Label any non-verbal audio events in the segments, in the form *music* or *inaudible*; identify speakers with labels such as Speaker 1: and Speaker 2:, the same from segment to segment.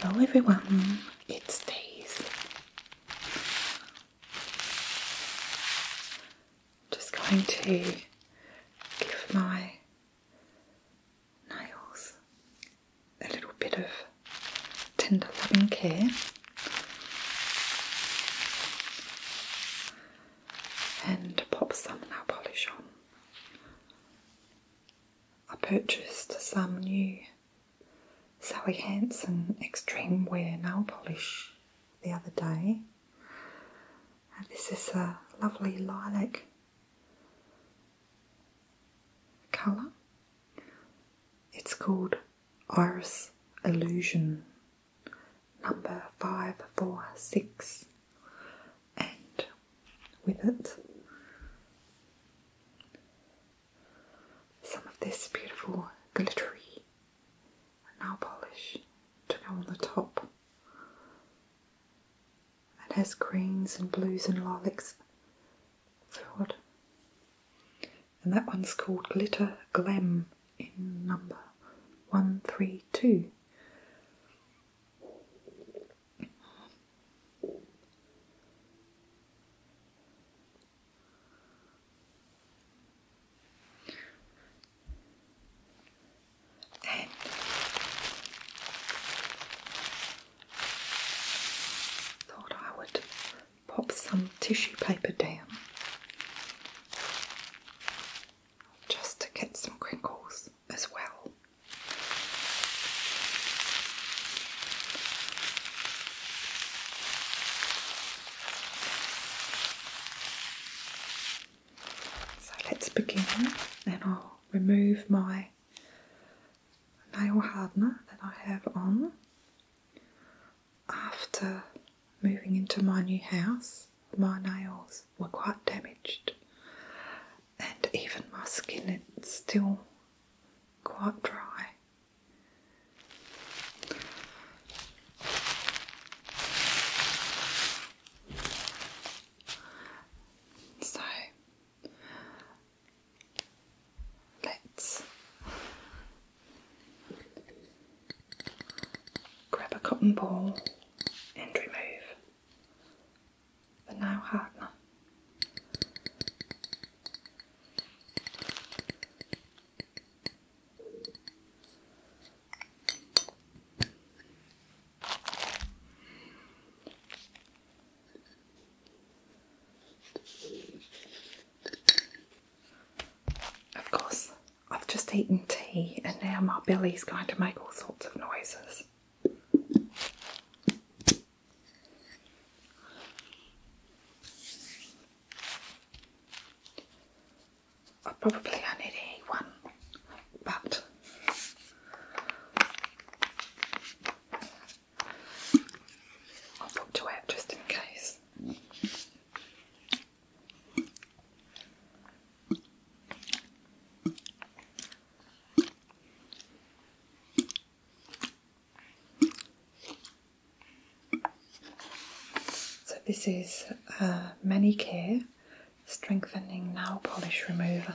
Speaker 1: Hello everyone, it's Daisy. Just going to give my nails a little bit of tender loving care and pop some nail polish on. I purchased some new Sally Hansen Extreme Wear nail polish the other day. And this is a lovely lilac colour it's called Iris Illusion number 546, and with it, some of this beautiful glittery nail polish to go on the top. It has greens and blues and lilacs and that one's called Glitter Glam in number 132. Thought I would pop some tissue paper down just to get some crinkles as well. So let's begin, and I'll remove my nail hardener that I have on after moving into my new house. My nails were quite damaged, and even my skin is still quite dry. So Let's grab a cotton ball and remove the now hardener. Of course, I've just eaten tea and now my belly's going to make all sorts of noises. I probably only need one, but I'll put to just in case. So this is uh, Strengthening Nail Polish Remover.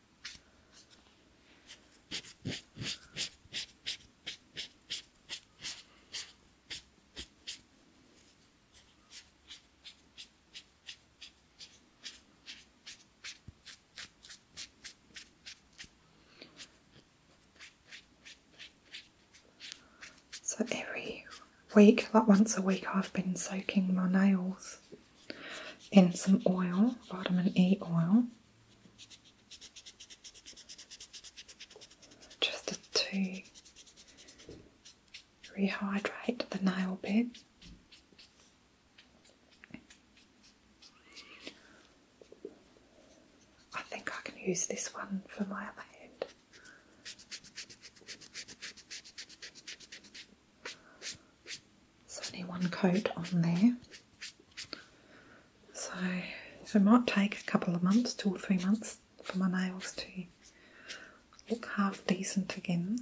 Speaker 1: So every week, like once a week, I've been soaking my nails in some oil, vitamin E oil. Just to rehydrate the nail bed. I think I can use this one for my other hand. There's only one coat on there. So, so it might take a couple of months, two or three months, for my nails to look half decent again.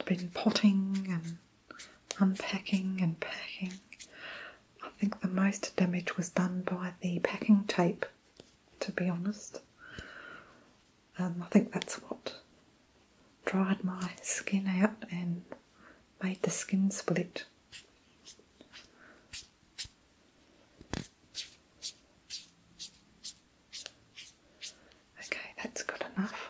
Speaker 1: I've been potting and unpacking and packing. I think the most damage was done by the packing tape to be honest. Um, I think that's what dried my skin out and made the skin split. Okay, that's good enough.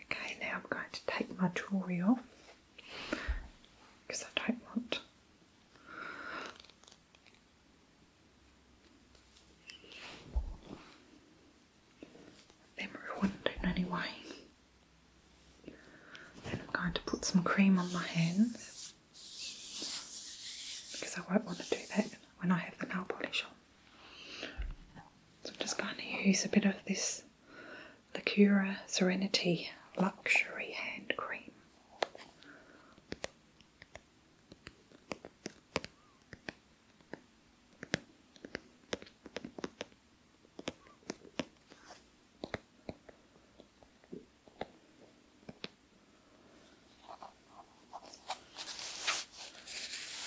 Speaker 1: Okay, now I'm going to take my jewellery off because I don't want they ruined it anyway. Then I'm going to put some cream on my hands because I won't want to do that when I have the nail polish on. So I'm just going to use a bit of this Lacura Serenity Luxury Hand Cream.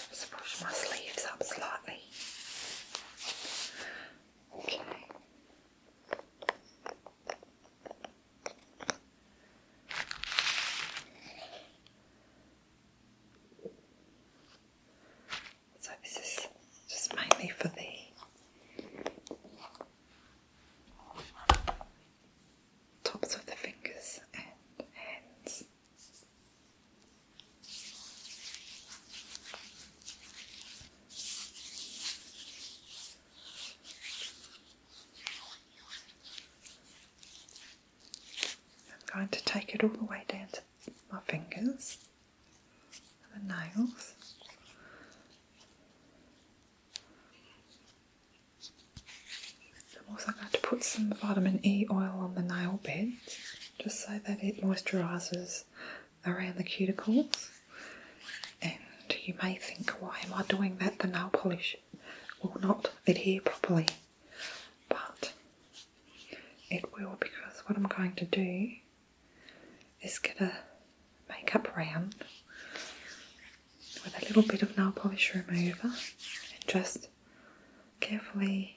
Speaker 1: Just push my sleeves up slightly. Okay. So this is just mainly for the tops of the fingers and hands. I'm going to take it all the way down to my fingers and the nails. I'm also going to put some vitamin E oil on the nail bed just so that it moisturises around the cuticles. And you may think, why am I doing that? The nail polish will not adhere properly but it will because what I'm going to do is get a makeup round with a little bit of nail polish remover and just carefully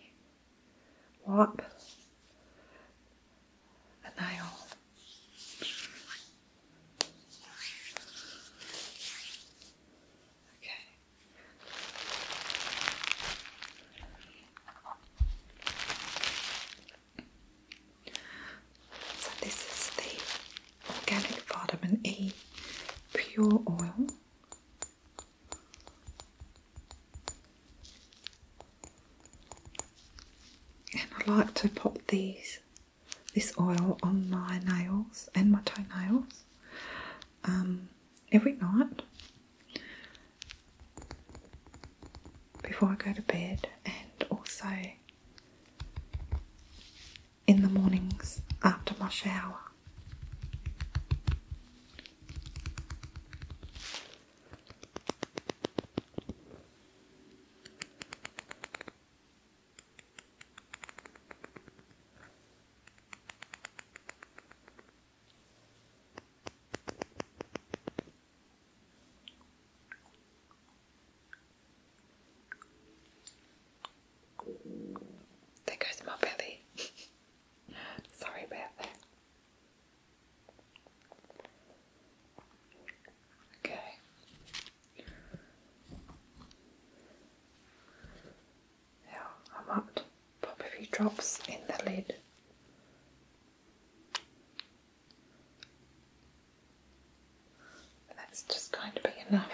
Speaker 1: wipe a nail. Okay. So this is the organic vitamin E pure oil. And I like to pop these this oil on my nails and my toenails. Um, Every night, Before I go to bed, and also in the mornings after my shower. There goes my belly. *laughs* Sorry about that. Okay. Yeah, I might pop a few drops in the lid. that's just going to be enough.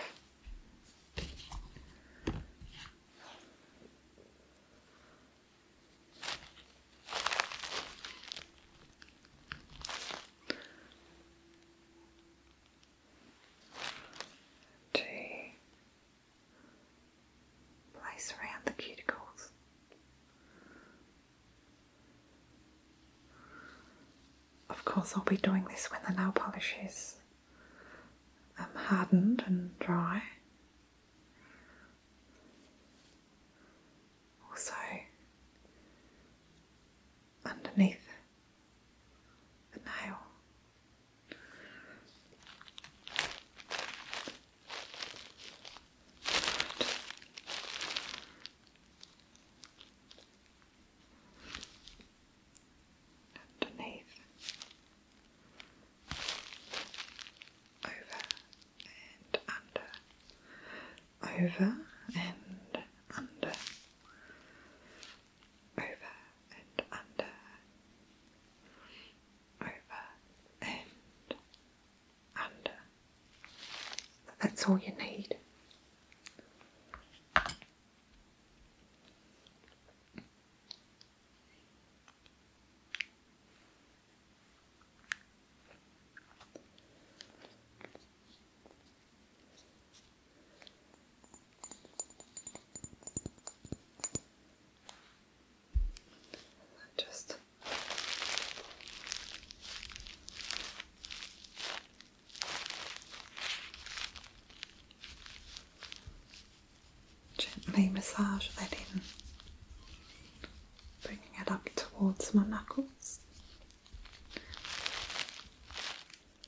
Speaker 1: to Place around the cuticles. Of course, I'll be doing this when the nail polish is um, hardened and dry. Also, underneath the nail underneath, over and under, over and under, over and under, over and under. That's all you need. Just gently massage that in, bringing it up towards my knuckles.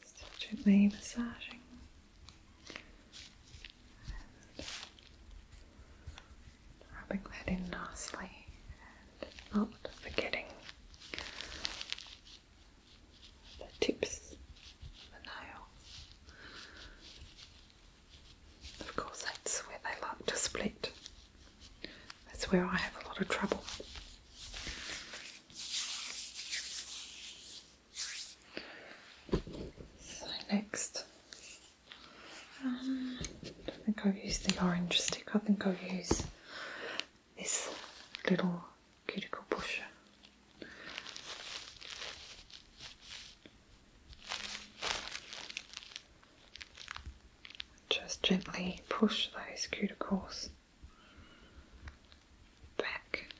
Speaker 1: Just gently massaging rubbing that in nicely and not forgetting the tips of the nail. Of course, that's where they like to split. That's where I have a lot of trouble. So next, um, I don't think I've used the orange stick. I think I'll use this little cuticle pusher. Just gently push those cuticles back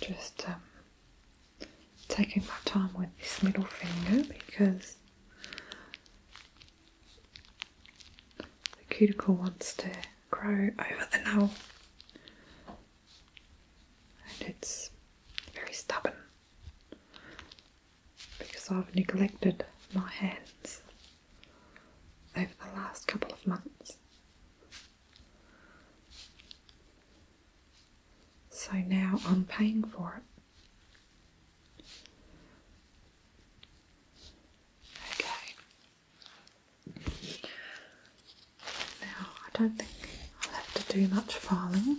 Speaker 1: just um, taking my time with this middle finger because the cuticle wants to grow over the nail, and it's very stubborn because I've neglected my hands over the last couple of months. So now I'm paying for it. Okay. Now, I don't think I'll have to do much filing.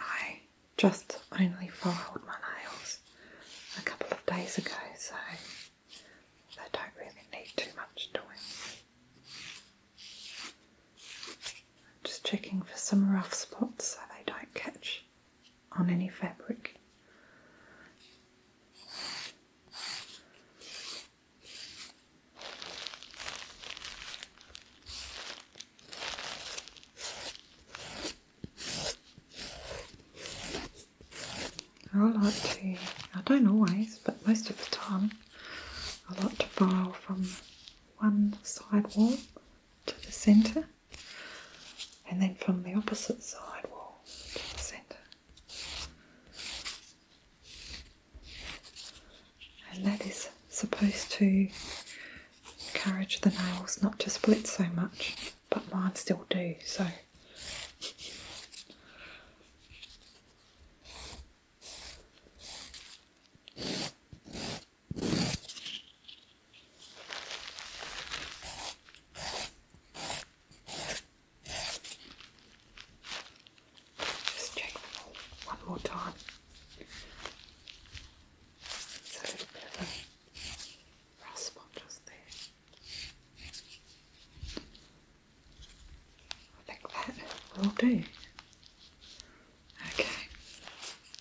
Speaker 1: I just only filed my nails a couple of days ago, so they don't really need too much doing. just checking for some rough spots so they don't catch on any fabric. I like to, I don't always, but most of the time, I like to file from one side wall to the centre and then from the opposite side wall to the centre. And that is supposed to encourage the nails not to split so much, but mine still do, so. Just check one more time. It's little bit of a rasp just there. I think that will do. Okay.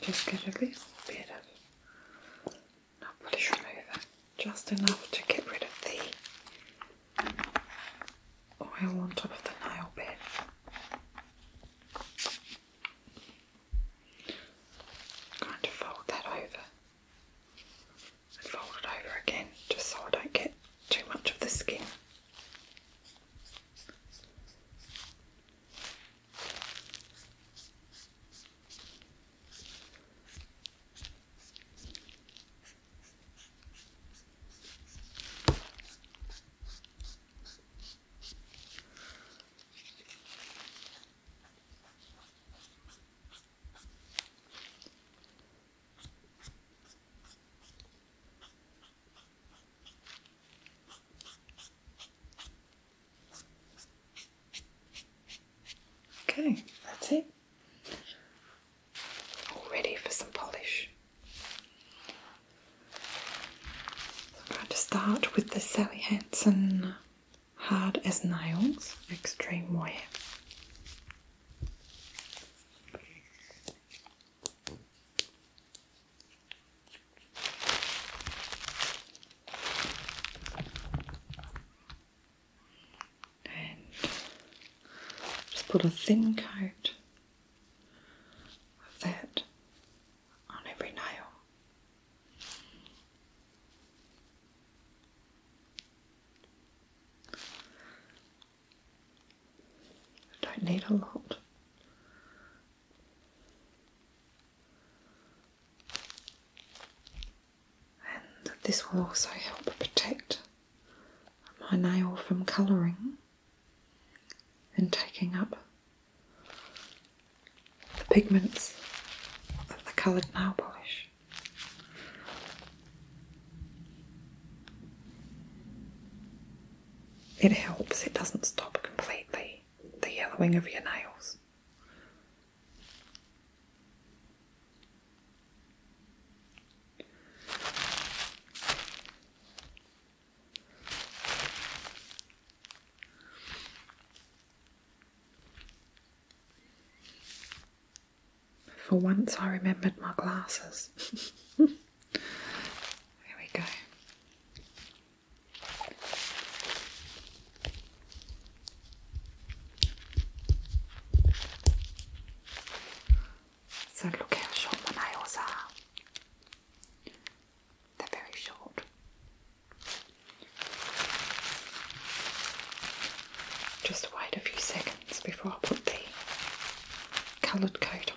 Speaker 1: Just get a little bit of nail polish remover, just enough to get rid of the oil on top of the nail bed. I'm going to fold that over and fold it over again just so I don't get too much of the skin. Okay, that's it. All ready for some polish. I'm going to start with the Sally Hansen hard as nails, extreme way, And just put a thin coat of that on every nail. I don't need a lot. And this will also help protect my nail from colouring and taking up the pigments of the coloured nail polish. It helps, it doesn't stop completely the yellowing of your nails. For once, I remembered my glasses. there *laughs* we go. So, look how short my nails are. They're very short. Just wait a few seconds before I put the coloured coat on.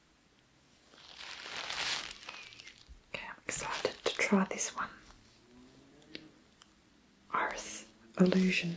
Speaker 1: Okay, I'm excited to try this one. Iris Illusion.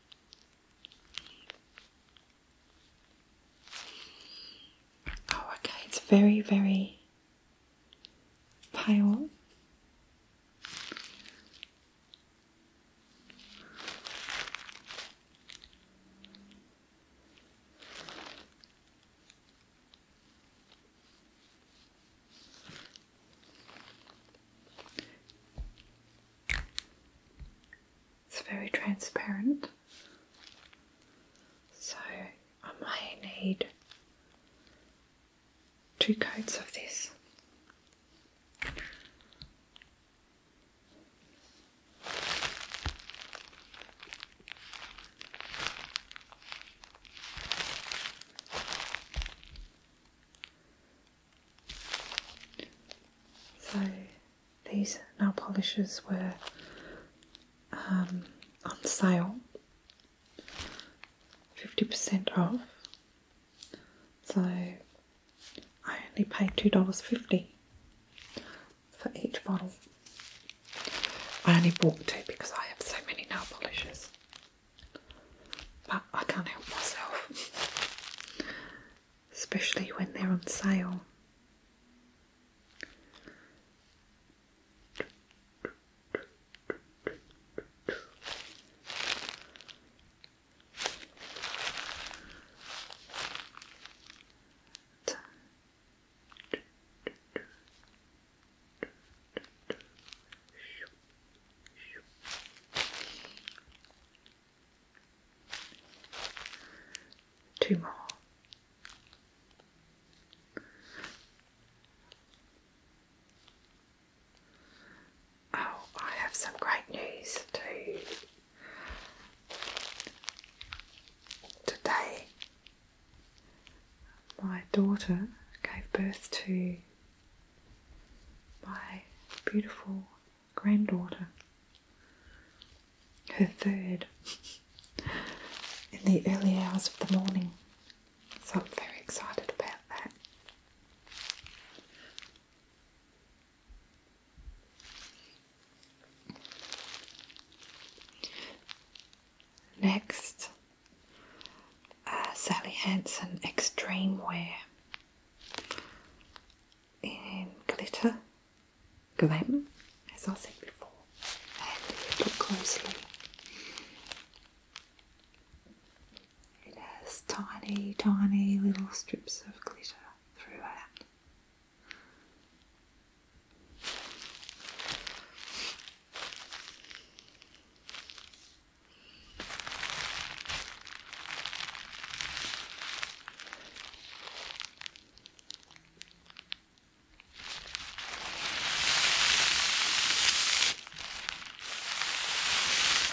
Speaker 1: Oh, okay, it's very, very pale. It's very transparent, so I may need two coats of this. So these nail polishes were um, on sale, 50% off. So I only paid $2.50 for each bottle. I only bought two because I have so many nail polishes. But I can't help myself, especially when they're on sale. Two more. Oh, I have some great news too. Today, my daughter gave birth to my beautiful granddaughter, her third, in the early hours of the morning. So I'm very excited about that. Next, uh, Sally Hansen Extreme Wear in glitter, glam, as I said before. And if you look closely, it has tiny, tiny little strips of glitter throughout.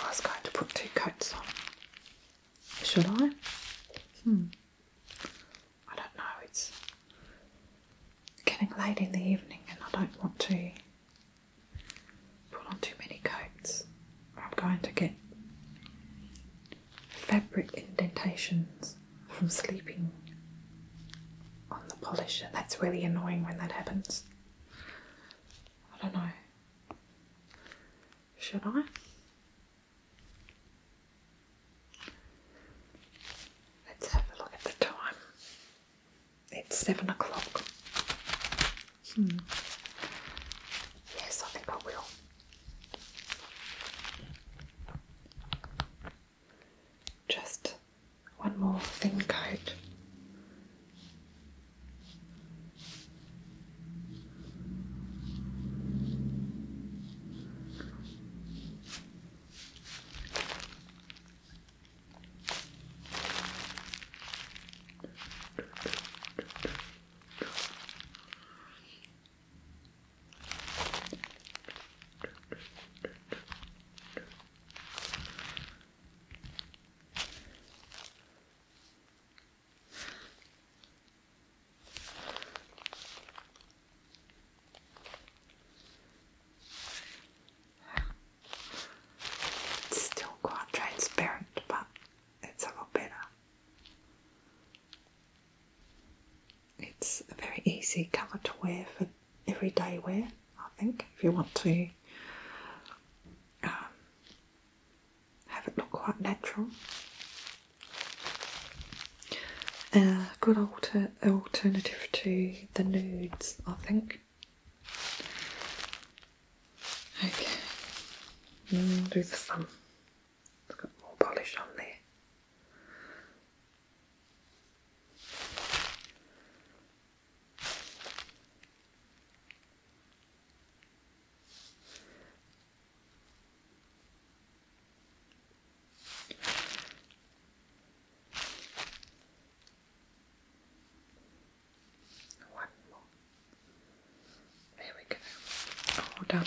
Speaker 1: I was going to put two coats on. Should I? Hmm. I don't know. It's getting late in the evening, and I don't want to Put on too many coats. I'm going to get fabric indentations from sleeping on the polish, and that's really annoying when that happens. I don't know. Should I? Let's have a look at the time. It's seven o'clock. Hmm. Yes, I think I will. Just one more thin coat. It's still quite transparent, but it's a lot better. It's a very easy colour to wear for everyday wear, I think, if you want to um, have it look quite natural. A uh, good alter alternative to the nudes, I think. Okay, mm, do the thumb. It's got more polish on there. One more. There we go. All done.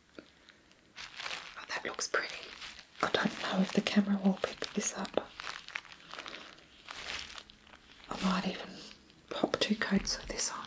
Speaker 1: Oh, that looks pretty. I don't know if the camera will pick this up. I might even pop two coats of this on.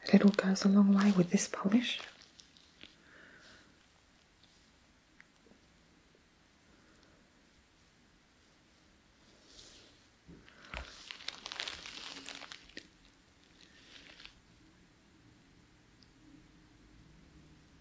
Speaker 1: A little goes a long way with this polish.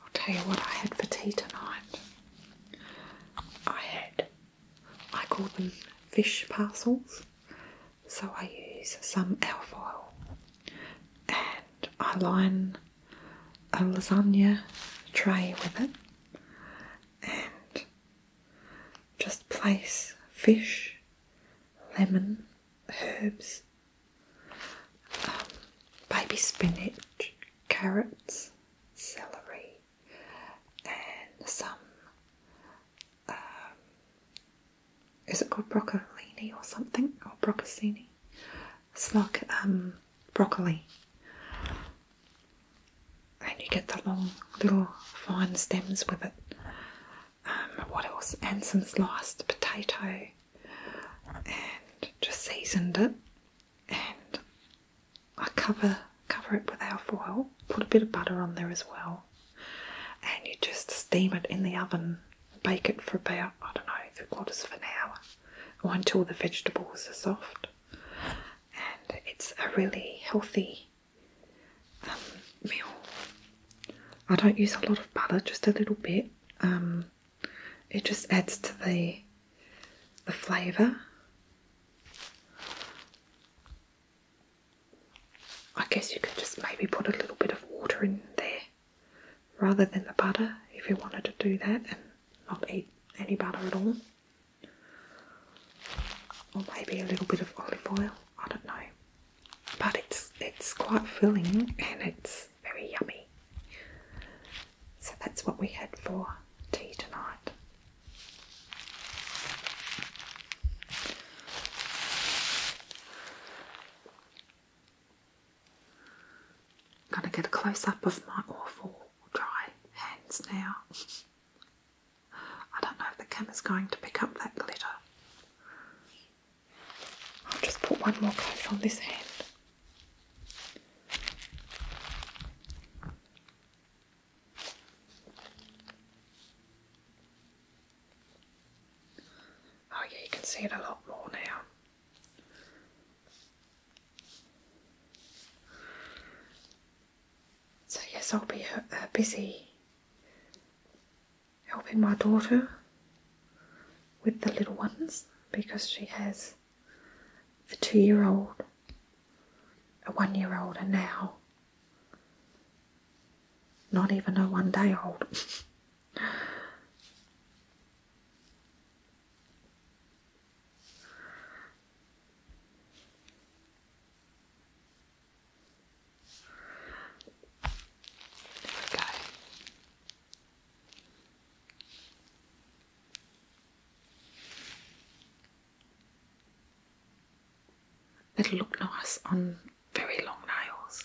Speaker 1: I'll tell you what I had for tea tonight. I had, I call them fish parcels, so I use some alfoil and I line a lasagna tray with it and just place fish, lemon, herbs, um, baby spinach, carrots, celery, and some. Um, is it called broccolini or something or broccolini? It's like um, broccoli. And you get the long little fine stems with it. Um, what else? And some sliced potato and just seasoned it and I cover cover it with our foil. put a bit of butter on there as well, and you just steam it in the oven, bake it for about I don't know, three quarters of an hour or until the vegetables are soft and it's a really healthy um, meal. I don't use a lot of butter, just a little bit. Um, it just adds to the the flavour. I guess you could just maybe put a little bit of water in there rather than the butter if you wanted to do that and not eat any butter at all or maybe a little bit of olive oil. I don't know, but it's it's quite filling and it's very yummy. So that's what we had for tea tonight. I'm gonna get a close up of my awful dry hands now. *laughs* I don't know if the camera's going to pick up that glitter. I'll just put one more coat on this hand. Oh, yeah, you can see it a lot more now. So, yes, I'll be uh, busy helping my daughter with the little ones because she has a two year old, a one year old, and now not even a one day old. *laughs* There It'll look nice on very long nails.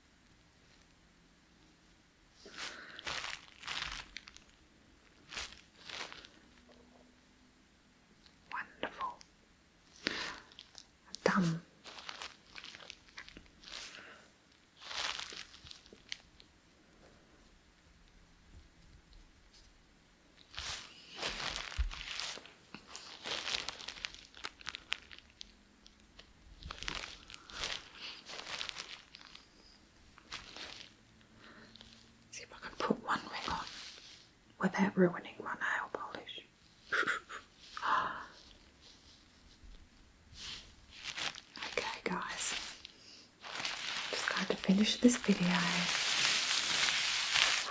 Speaker 1: Wonderful. Done. See if I can put one ring on without ruining my nail polish. *gasps* okay, guys, just going to finish this video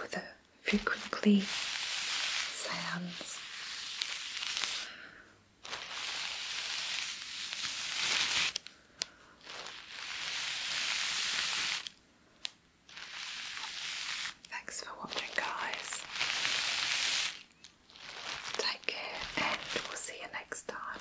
Speaker 1: with a few crinkly sounds. Thanks for watching, guys. Take care, and we'll see you next time.